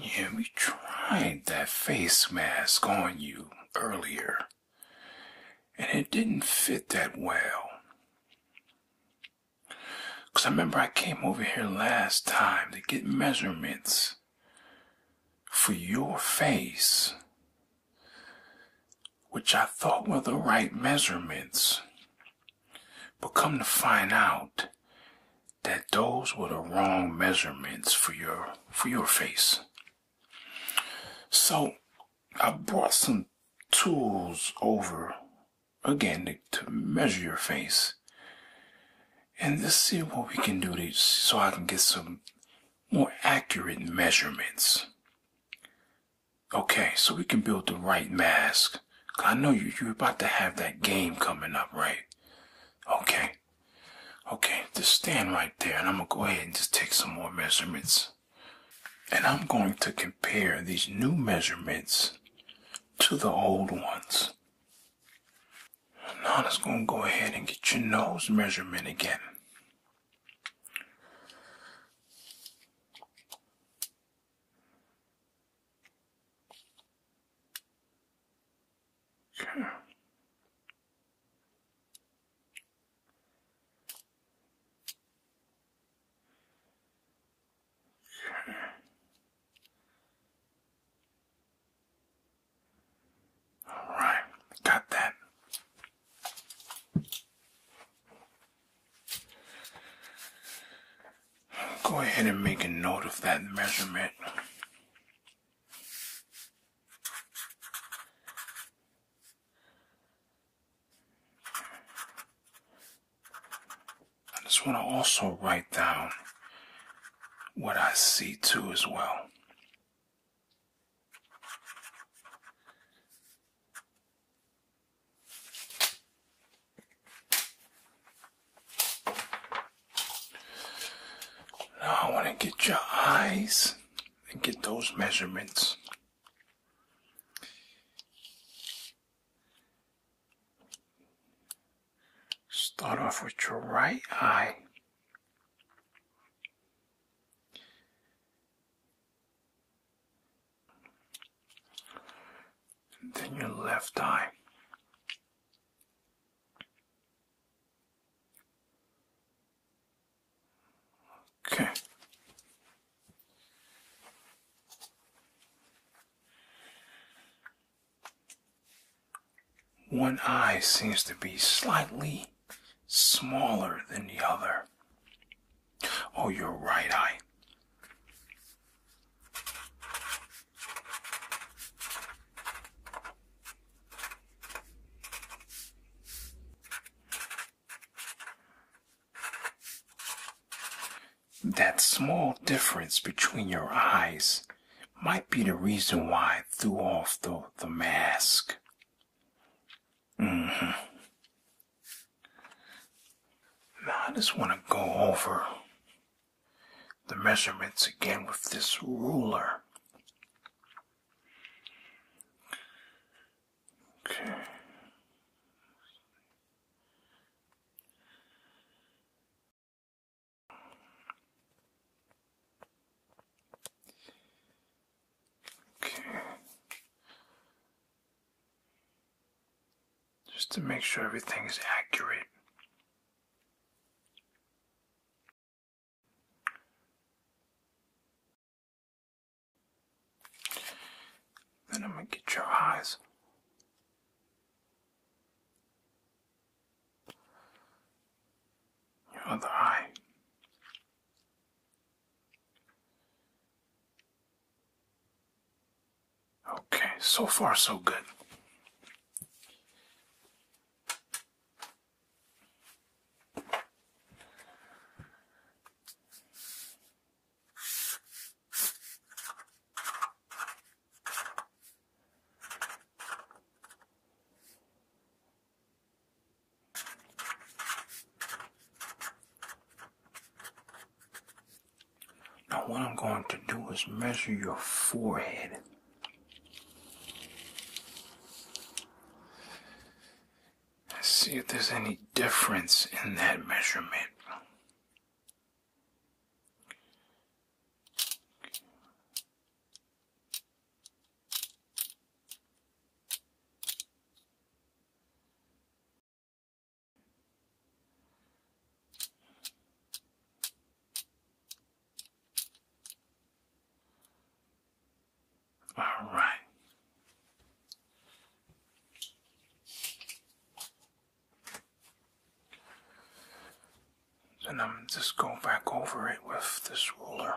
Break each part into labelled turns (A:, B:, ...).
A: Yeah, we tried that face mask on you earlier, and it didn't fit that well. 'Cause I remember I came over here last time to get measurements for your face, which I thought were the right measurements. But come to find out that those were the wrong measurements for your for your face. So I brought some tools over again to, measure your face. And let's see what we can do so I can get some more accurate measurements. Okay, so we can build the right mask. I know you, you're about to have that game coming up, right? Okay. Okay, just stand right there and I'm gonna go ahead and just take some more measurements. And I'm going to compare these new measurements to the old ones. Now I'm gonna go ahead and get your nose measurement again. Okay. Okay. All right, got that. Go ahead and make a note of that measurement. I just want to also write down what I see too as well. Now I want to get your eyes and get those measurements. Start off with your right eye then your left eye. Okay. One eye seems to be slightly smaller than the other. Oh, your right eye. That small difference between your eyes might be the reason why I threw off the, the mask. Mm-hmm. Now I just want to go over the measurements again with this ruler. Okay. Okay. Just to make sure everything is accurate. Then I'm going to get your eyes. Your other eye. Okay, so far so good. Now, what I'm going to do is measure your forehead. let see if there's any difference in that measurement. All right. Then I'm just going back over it with this ruler.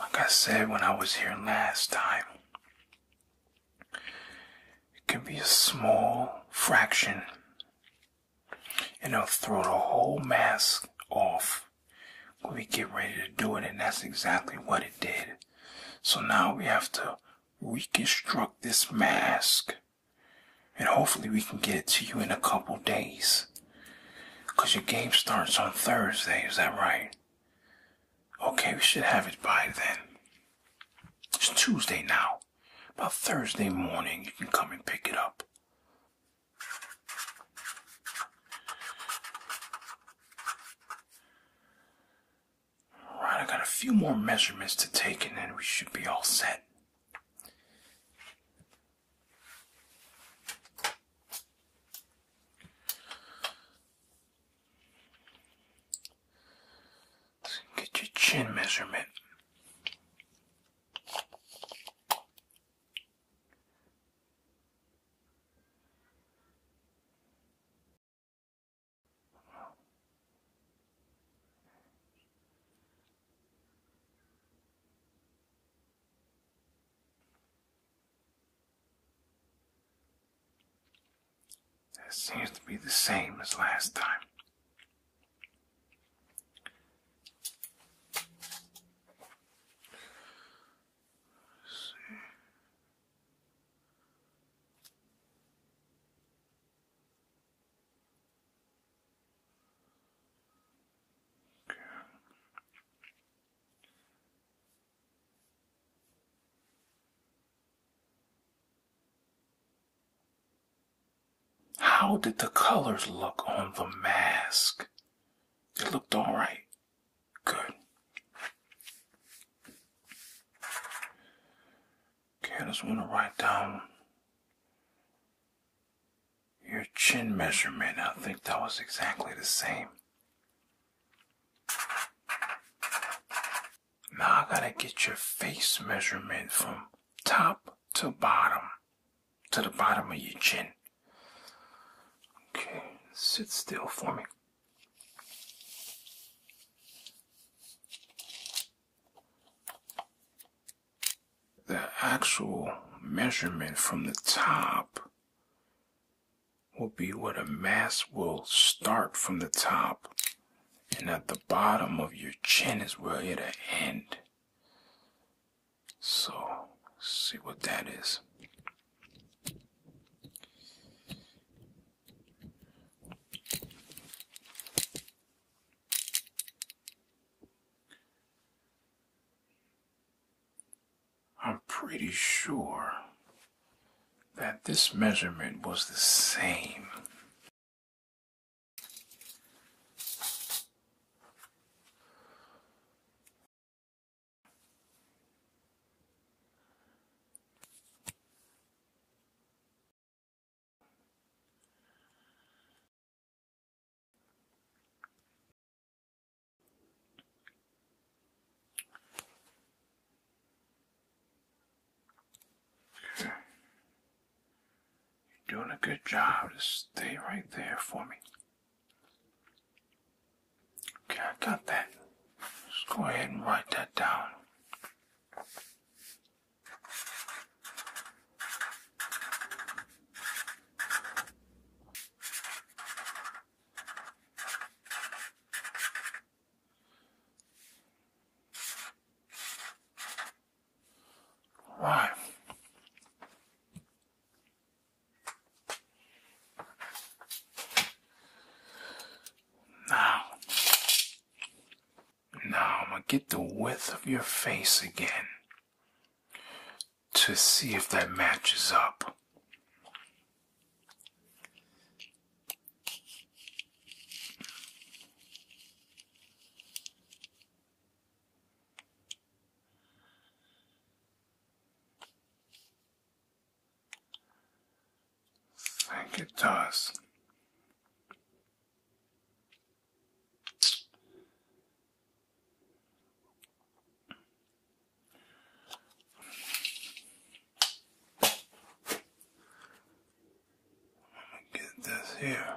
A: Like I said when I was here last time, it can be a small fraction and it'll throw the whole mask off when we get ready to do it, and that's exactly what it did. So now we have to reconstruct this mask, and hopefully we can get it to you in a couple days. Cause your game starts on Thursday, is that right? Okay, we should have it by then. It's Tuesday now. By Thursday morning, you can come and pick it up. All right, I got a few more measurements to take and then we should be all set. get your chin measurement. That seems to be the same as last time see. Okay. How did the colors look on the mask? It looked all right. Good. Okay, I just want to write down your chin measurement. I think that was exactly the same. Now I gotta get your face measurement from top to bottom to the bottom of your chin. Okay, sit still for me. The actual measurement from the top will be where the mass will start from the top and at the bottom of your chin is where it'll end. So, see what that is. I'm pretty sure that this measurement was the same. You're doing a good job. Just stay right there for me. Okay, I got that. Let's go ahead and write that down. Why? Now, now I'm gonna get the width of your face again to see if that matches up. I think it does. Let me get this here.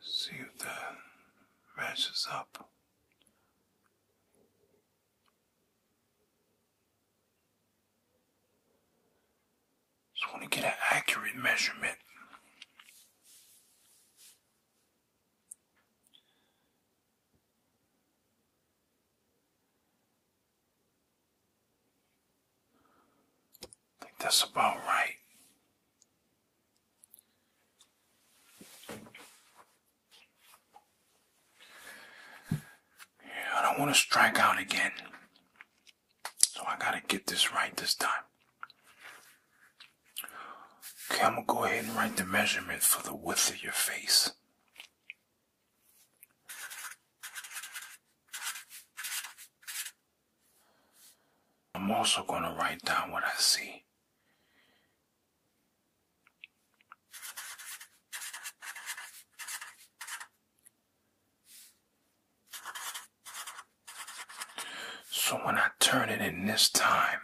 A: See if that matches up. Just want to get an accurate measurement think that's about right. Yeah, I don't want to strike out again. So I gotta get this right this time. Okay, I'm gonna go ahead and write the measurement for the width of your face. I'm also going to write down what I see. So when I turn it in this time,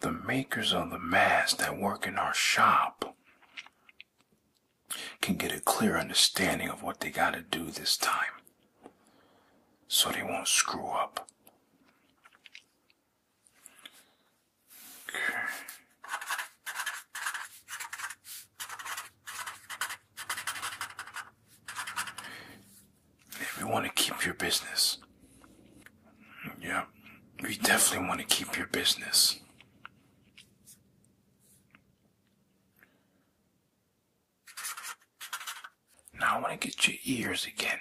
A: the makers of the masks that work in our shop can get a clear understanding of what they got to do this time so they won't screw up. Okay. If you want to keep your business, yeah, we definitely want to keep your business. Now I want to get your ears again.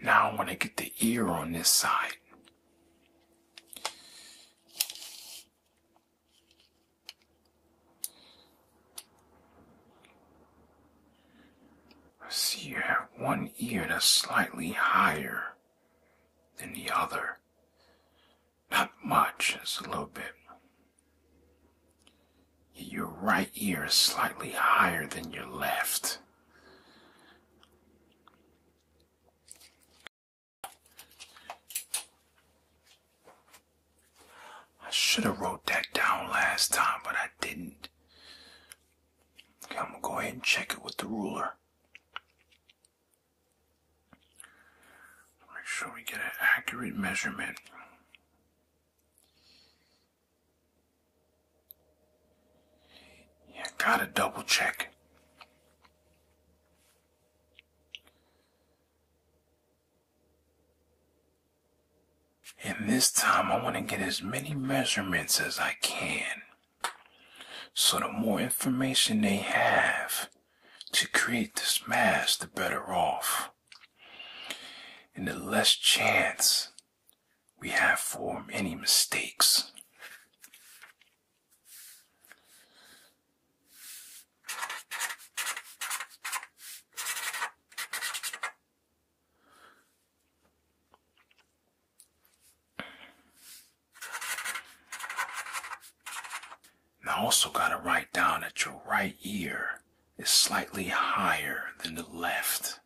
A: Now I want to get the ear on this side. I see you have one ear that's slightly higher than the other. Not much, it's a little bit. Your right ear is slightly higher than your left. I should have wrote that down last time, but I didn't. I'm gonna go ahead and check it with the ruler. Make sure we get an accurate measurement. You gotta double check. And this time I want to get as many measurements as I can. So the more information they have to create this mass, the better off. And the less chance we have for Any mistakes. I also got to write down that your right ear is slightly higher than the left.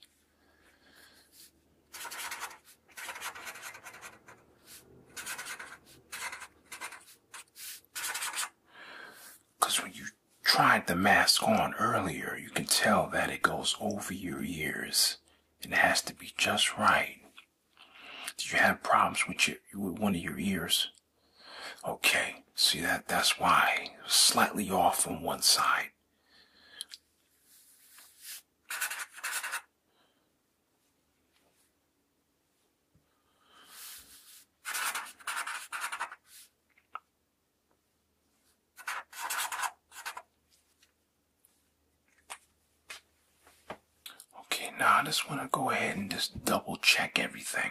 A: Because when you tried the mask on earlier, you can tell that it goes over your ears. It has to be just right. Did you have problems with your with one of your ears? Okay, see that that's why slightly off on one side. Okay, now I just want to go ahead and just double check everything.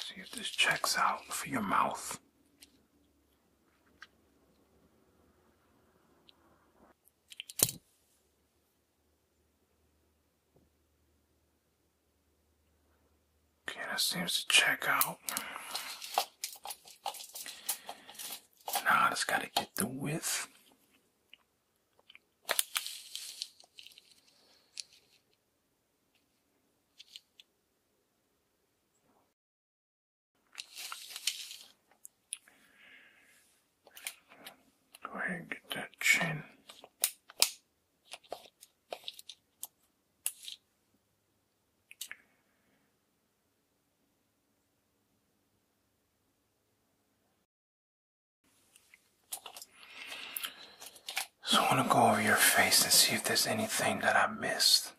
A: See if this checks out for your mouth. Okay, that seems to check out. Now I just gotta get the width. Go ahead and get that chin. So I want to go over your face and see if there's anything that I missed.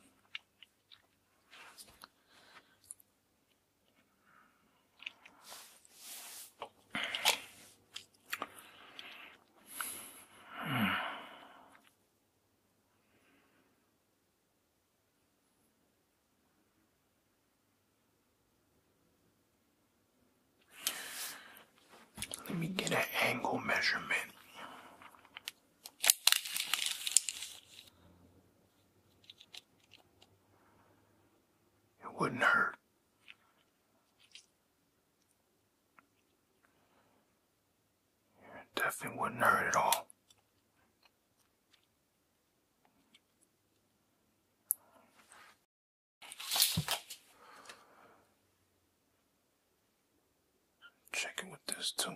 A: Let me get an angle measurement. It wouldn't hurt. It definitely wouldn't hurt at all. Check it with this too.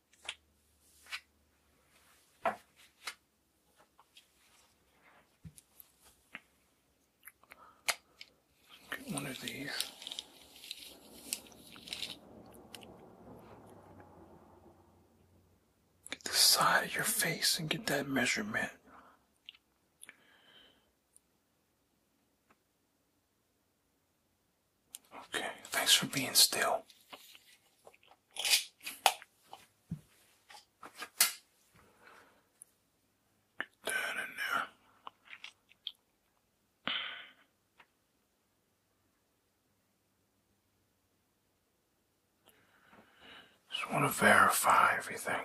A: Get one of these. Get the side of your face and get that measurement. Okay, thanks for being still. Get that in there. Just want to verify everything.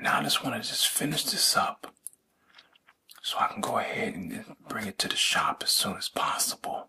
A: Now I just want to just finish this up so I can go ahead and bring it to the shop as soon as possible.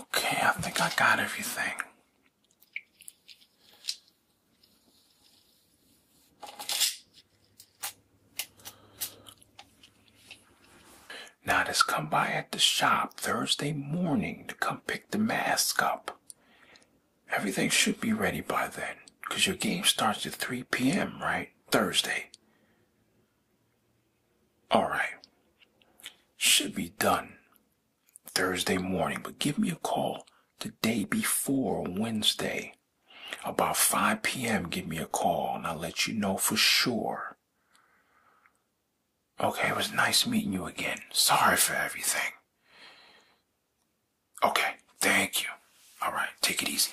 A: Okay, I think I got everything. Now just come by at the shop Thursday morning to come pick the mask up. Everything should be ready by then, because your game starts at 3 p.m., right? Thursday. All right. Should be done Thursday morning, but give me a call the day before Wednesday. About 5 p.m., give me a call and I'll let you know for sure. Okay, it was nice meeting you again. Sorry for everything. Okay, thank you. All right, take it easy.